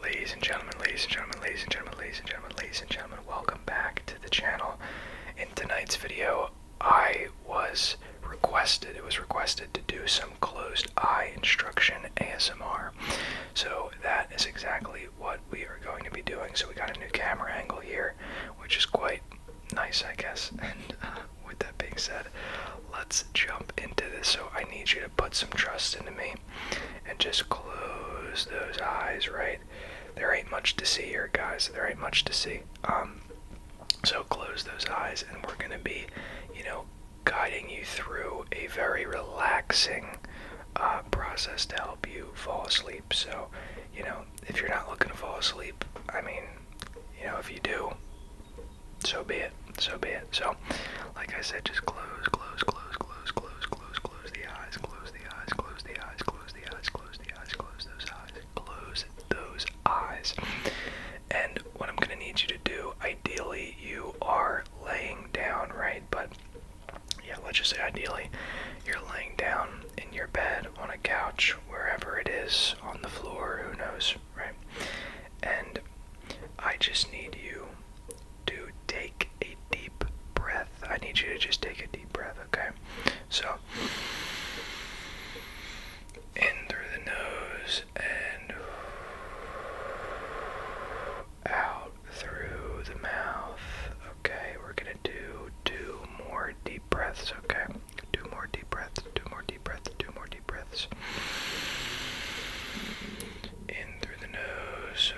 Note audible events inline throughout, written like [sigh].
Ladies and gentlemen, ladies and gentlemen, ladies and gentlemen, ladies and gentlemen, ladies and gentlemen, welcome back to the channel. In tonight's video, I was requested, it was requested to do some closed eye instruction ASMR. So that is exactly what we are going to be doing. So we got a new camera angle here, which is quite nice, I guess. [laughs] And uh, with that being said, let's jump into this. So I need you to put some trust into me and just close those eyes, right? There ain't much to see here, guys. There ain't much to see. Um, so close those eyes, and we're going to be, you know, guiding you through a very relaxing uh, process to help you fall asleep. So, you know, if you're not looking to fall asleep, I mean, you know, if you do, so be it. So be it. So, like I said, just close, close, close, close, close, close, close the eyes, close the eyes, close the eyes, close the eyes, close the eyes, close those eyes, close those eyes. And what I'm gonna need you to do, ideally, you are laying down, right? But yeah, let's just say ideally, you're laying down in your bed, on a couch, wherever it is, on the floor, who knows, right? And I just need you to take a deep breath. I need you to just take a deep breath, okay? So, in through the nose and out through the mouth. Okay, we're gonna do two more deep breaths, okay? Two more deep breaths, two more deep breaths, two more deep breaths in through the nose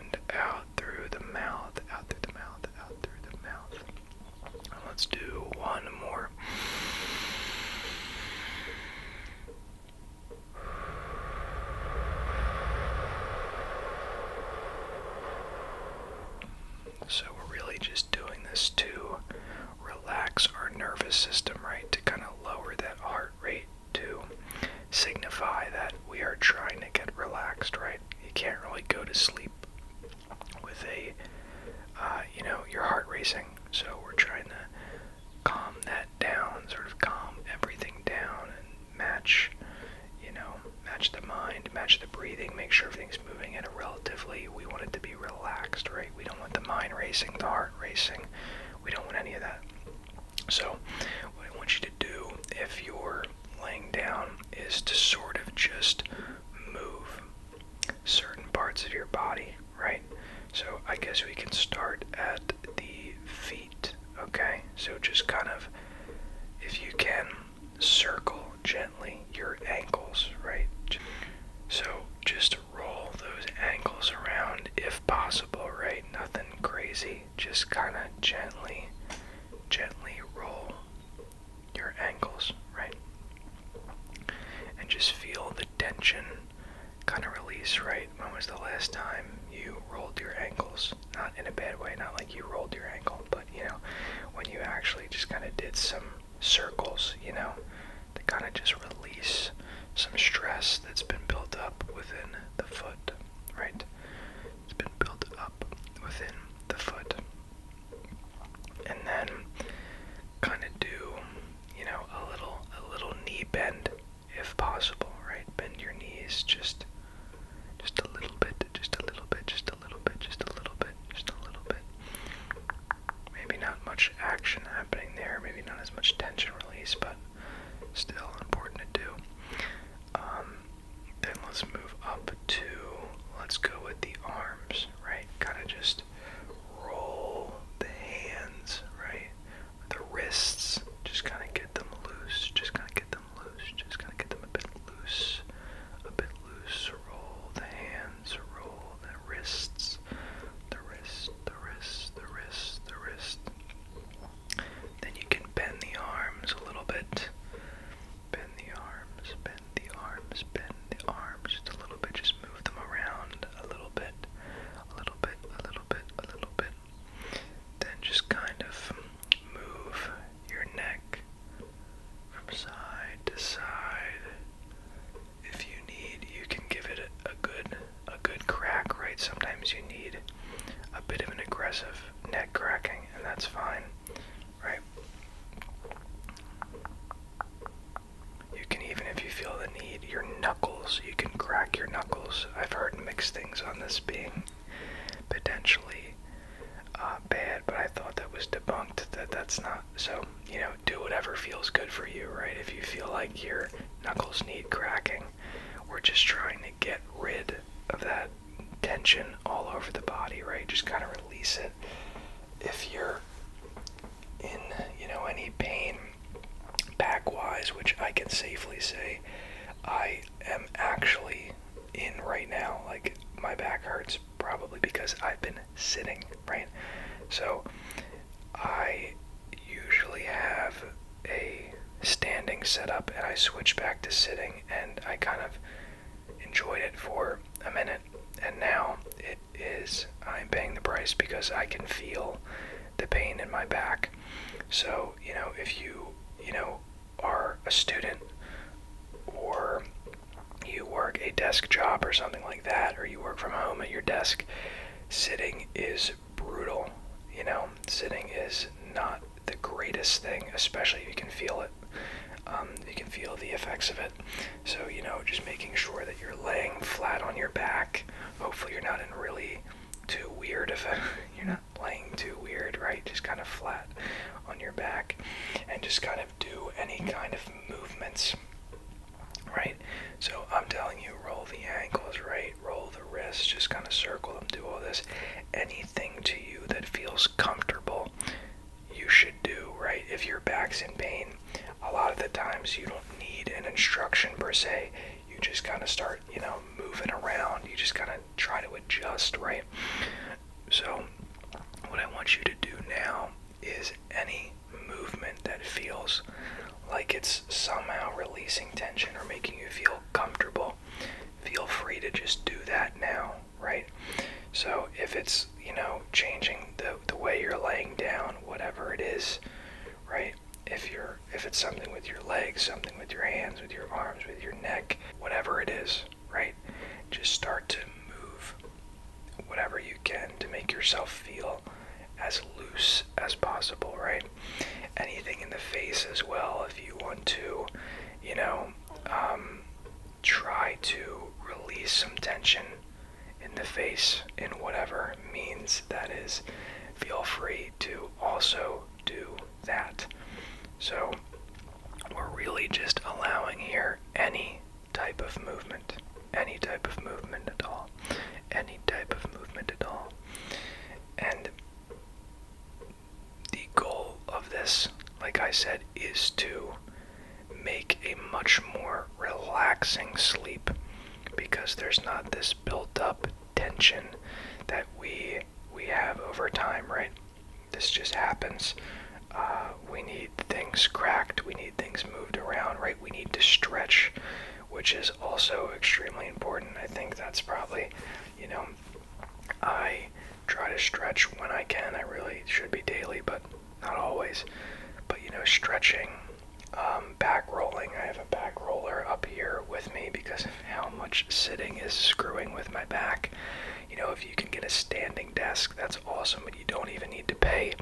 and out through the mouth, out through the mouth, out through the mouth. let's do one more. So we're really just doing this to relax our nervous system, right? To kind of lower that heart rate to signify that we are trying to get relaxed, right? You can't really go to sleep with a, uh, you know, your heart racing. So we're trying to calm that down, sort of calm everything down and match, you know, match the mind, match the breathing, make sure everything's moving at a relatively, we want it to be relaxed, right? We don't want the mind racing, the heart racing. We don't want any of that. So, what I want you to do if you're laying down is to sort of just move certain parts of your body, right? So, I guess we can start at the feet, okay? So, just kind of, if you can, circle gently your ankles, right? So just roll those ankles around if possible, right? Nothing crazy. Just kind of gently, gently roll your ankles, right? And just feel the tension kind of release, right? When was the last time you rolled your ankles? Not in a bad way, not like you rolled your ankle, but you know, when you actually just kind of did some circles, you know, to kind of just release some stress that's been built up within the foot, right? It's been built up within the foot. And then kind of do, you know, a little a little knee bend if possible, right? Bend your knees just just a little bit, just a little bit, just a a little bit, just a little bit, just a little bit. Maybe not much action happening there, maybe not as much tension release, but still important to do. Um, then let's move up to, let's go with the arms, right? Kind of just roll the hands, right? The wrists, just kind of get them loose, just kind of get them loose, just kind of get them a bit loose, a bit loose, roll the hands roll the wrists, the wrist, the wrist, the wrist, the wrist. Then you can bend the arms a little bit. Bend the arms, bend the arms, bend the arms just a little bit. Just move them around a little bit, a little bit, a little bit, a little bit. Then just kind of move your neck, from side to side. If you need, you can give it a, good a good crack, right? Sometimes you need a bit of an aggressive neck cracking, and that's fine, right? You can even if you feel the need, your knuckles, you can crack your knuckles. I've heard mixed things on this being potentially uh, bad, but I thought that was debunked. That that's not so. You know, do whatever feels good for you, right? If you feel like your knuckles need cracking, we're just trying to get rid of that tension all over the body, right? Just kind of release it. If you're in, you know, any pain back-wise, which I can safely say I am actually in right now. Like my back hurts probably because I've been sitting, right? So I usually have a standing setup and I switch back to sitting and I kind of enjoyed it for a minute and now it is I'm paying the price because I can feel the pain in my back. So, you know, if you, you know, are a student or you work a desk job or something like that, or you work from home at your desk, sitting is brutal. You know, sitting is not the greatest thing, especially if you can feel it. Um, you can feel the effects of it. So, you know, just making sure that you're laying flat on your back. Hopefully, you're not in really too weird of a. [laughs] you're not laying too weird, right? Just kind of flat on your back and just kind of do any kind of movements, right? So I'm telling you, roll the ankles, right? Roll the wrists, just kind of circle them, do all this. Anything to you that feels comfortable, you should do, right? If your back's in pain, a lot of the times you don't need an instruction per se. You just kind of start, you know, moving around. You just kind of try to adjust, right? So, what I want you to do now is any movement that feels like it's somehow releasing tension or making you feel comfortable, feel free to just do that now, right? So, if it's, you know, changing the, the way you're laying down, whatever it is, right? If you're if it's something with your legs, something with your hands, with your arms, with your neck, whatever it is, right? Just start to move whatever you can to make yourself feel as loose as possible, right? Anything in the face as well, if you want to, you know, um, try to release some tension in the face in whatever means that is. Feel free to also do that. So we're really just allowing here any type of movement, any type of movement at all, any type of movement at all. And the goal of this, like I said, is to make a much more relaxing sleep because there's not this built up tension that we we have over time, right? This just happens. Uh, we need things cracked. We need things moved around, right? We need to stretch, which is also extremely important. I think that's probably, you know, I try to stretch when I can. I really should be daily, but not always. But, you know, stretching, um, back rolling. I have a back roller up here with me because how much sitting is screwing with my back. You know, if you can get a standing desk, that's awesome, and you don't even need to pay,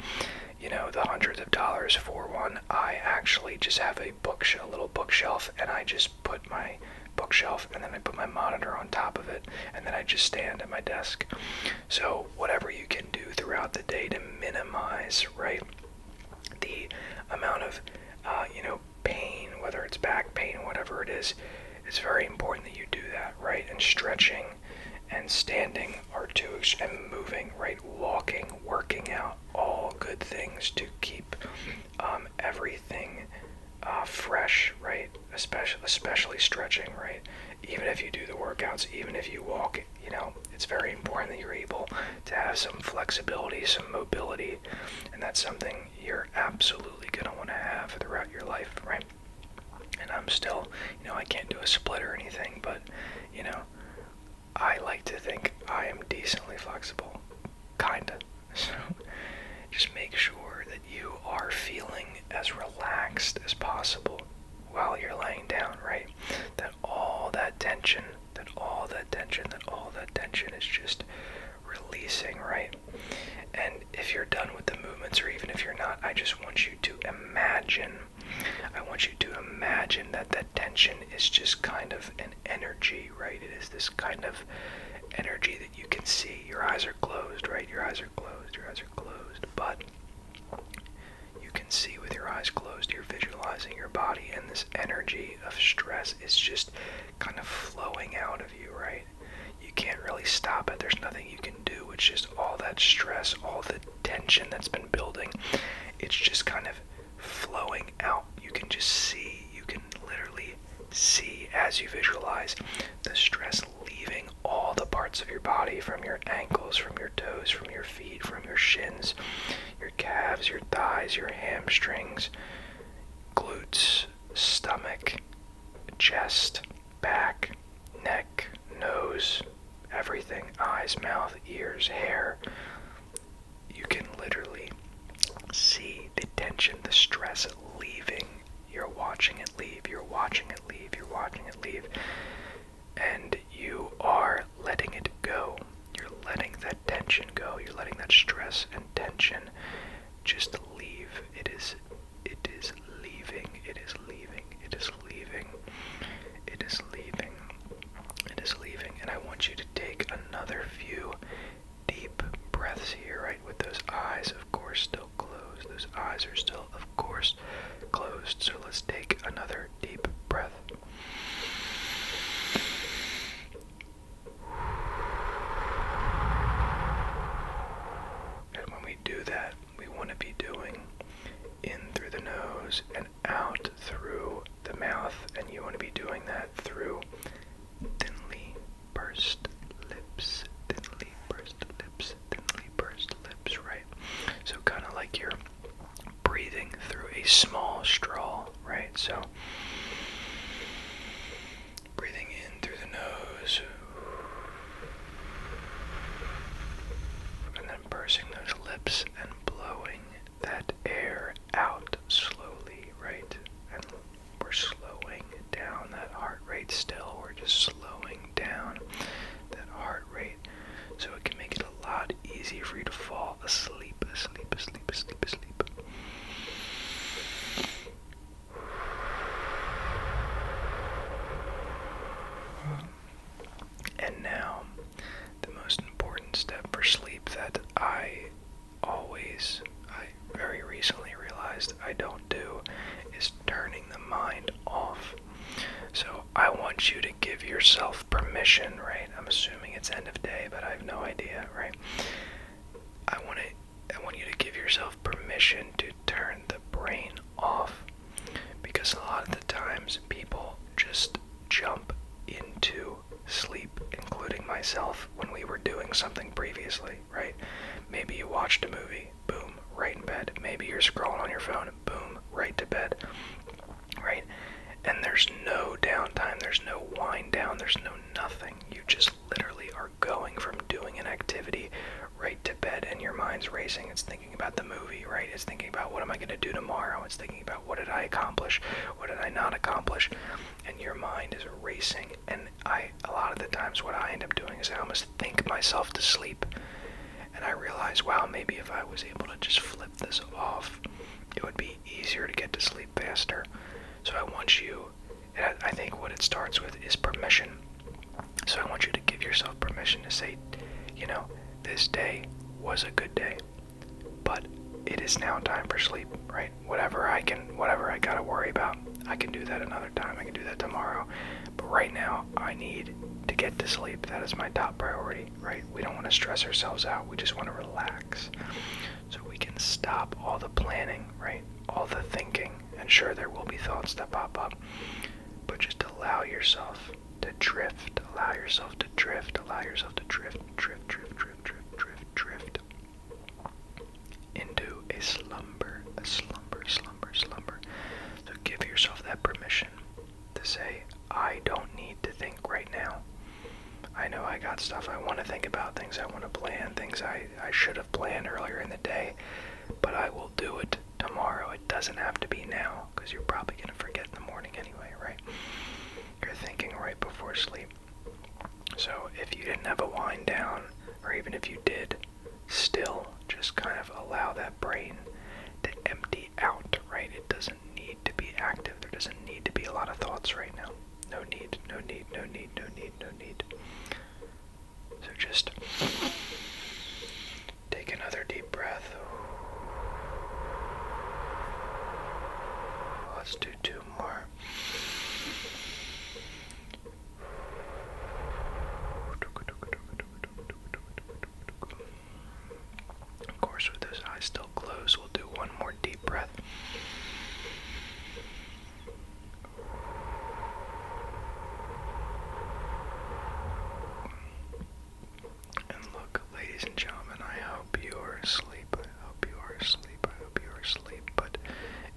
you know, the hundreds of dollars for one. I actually just have a bookshelf, a little bookshelf, and I just put my bookshelf and then I put my monitor on top of it and then I just stand at my desk. So whatever you can do throughout the day to minimize, right, the amount of uh, you know pain, whether it's back pain, whatever it is, it's very important that you do that, right? And stretching and standing are two, and moving, right? Walking, working out, all good things to keep um, everything uh, fresh, right? Especially, especially stretching, right? Even if you do the workouts, even if you walk, you know, it's very important that you're able to have some flexibility, some mobility, and that's something you're absolutely going to want to have throughout your life, right? And I'm still, you know, I can't do a split or anything, but, you know, I like to think I am decently flexible. Kinda. [laughs] So just make sure that you are feeling as relaxed as possible while you're laying down, right? That all that tension, that all that tension, that all that tension is just releasing, right? And if you're done with the movements, or even if you're not, I just want you to imagine. I want you to imagine that that tension is just kind of an energy, right? It is this kind of energy that you can see. Your eyes are closed, right? Your eyes are closed, your eyes are closed, but you can see with your eyes closed, you're visualizing your body, and this energy of stress is just kind of flowing out of you, right? You can't really stop it. There's nothing you can do. It's just all that stress, all the tension that's been building. It's just kind of flowing out. You can just see, you can literally see as you visualize the stress leaving all the parts of your body from your ankles, from your toes, from your feet, from your shins, your calves, your thighs, your hamstrings, glutes, stomach, chest, back, neck, nose, everything eyes, mouth, ears, hair. You can literally see the tension, the stress leaving. You're watching it leave, you're watching it leave, you're watching it leave. And you are letting it go. You're letting that tension go. You're letting that stress and tension just leave. It is it is leaving. It is leaving. It is leaving. It is leaving. It is leaving. And I want you to take another few deep breaths here, right? With those eyes, of course, still closed. Those eyes are still, of course, closed. So let's take another deep breath. And when we do that, we want to be doing in through the nose and out through the mouth, and you want to be doing that through thinly pursed lips, thinly pursed lips, thinly pursed lips, right? So, kind of like you're breathing through a small straw right? So, breathing in through the nose, and then pursing those lips and blowing that air out slowly, right? And we're slowing down that heart rate still. We're just slowing down that heart rate so it can make it a lot easier for you to fall asleep, asleep, asleep, asleep, asleep, and now, the most important step for sleep that I always, I very recently realized I don't do is turning the mind off. So I want you to give yourself permission, right? I'm assuming it's end of day, but I have no idea, right? I want to I want you to give yourself permission to turn the brain off because a lot of the times people just jump into sleep, including myself when we were doing something previously, right? Maybe you watched a movie, boom, right in bed. Maybe you're scrolling on your phone, boom, right to bed. Right? and there's no downtime, there's no wind down, there's no nothing. You just literally are going from doing an activity right to bed, and your mind's racing. It's thinking about the movie, right? It's thinking about what am I going to do tomorrow? It's thinking about what did I accomplish? What did I not accomplish? And your mind is racing. And I, a lot of the times, what I end up doing is I almost think myself to sleep. And I realize, wow, maybe if I was able to just flip this off, it would be easier to get to sleep faster. So I want you, I think what it starts with is permission. So I want you to give yourself permission to say, you know, this day was a good day, but it is now time for sleep, right? Whatever I can, whatever I gotta worry about, I can do that another time. I can do that tomorrow. But right now, I need to get to sleep. That is my top priority, right? We don't want to stress ourselves out. We just want to relax. So we can stop all the planning, right? All the thinking. And sure, there will be thoughts that pop up. But just allow yourself to drift. Allow yourself to drift. Allow yourself to drift, drift, drift, drift, drift, drift, drift. Into a slumber, a slumber, slumber, slumber. So give yourself that permission to say, I don't need to think right now. I know I got stuff I want to think about, things I want to plan, things I, I should have planned earlier in the day, but I will do it tomorrow. It doesn't have to be now because you're probably going to forget in the morning anyway, right? You're thinking right before sleep. So if you didn't have a wind down, or even if you did, still just kind of allow that brain to empty out, right? It doesn't need to be active. There doesn't need to be a lot of thoughts right now. No need, no need, no need, no need, no need. So just take another deep breath. Let's do two more. [laughs] Of course, with those eyes still closed, we'll do one more deep breath. And look, ladies and gentlemen, I hope you are asleep. I hope you are asleep. I hope you are asleep. But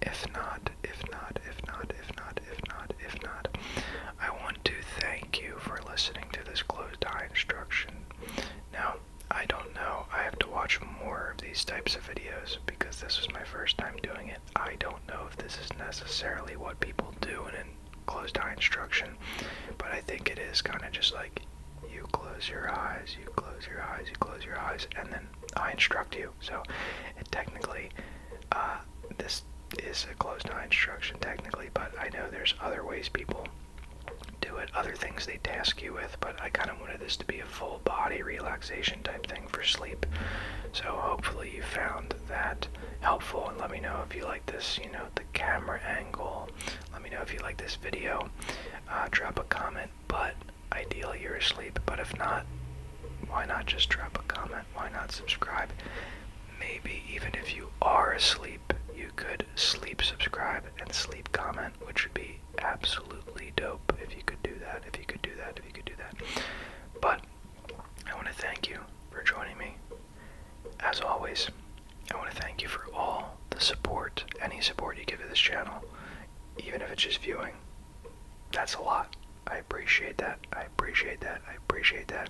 if not, if not, if not, if not, if not, if not, I want to thank you for listening to this closed eye instruction. Now, I don't know. I have to watch more of these types of videos because this was my first time doing it. I don't know if this is necessarily what people do in a closed eye instruction, but I think it is kind of just like you close your eyes, you close your eyes, you close your eyes, and then I instruct you. So technically, uh, this is a closed eye instruction technically, but I know there's other ways people do it. Other things they task you with, but I kind of wanted this to be a full body relaxation type thing for sleep. So hopefully you found that helpful and let me know if you like this, you know, the camera angle. Let me know if you like this video. Uh, drop a comment, but ideally you're asleep, but if not, why not just drop a comment? Why not subscribe? Maybe even if you are asleep, sleep. You could sleep subscribe and sleep comment, which would be absolutely dope if you could do that, if you could do that, if you could do that. But I want to thank you for joining me. As always, I want to thank you for all the support, any support you give to this channel, even if it's just viewing. That's a lot. I appreciate that. I appreciate that. I appreciate that.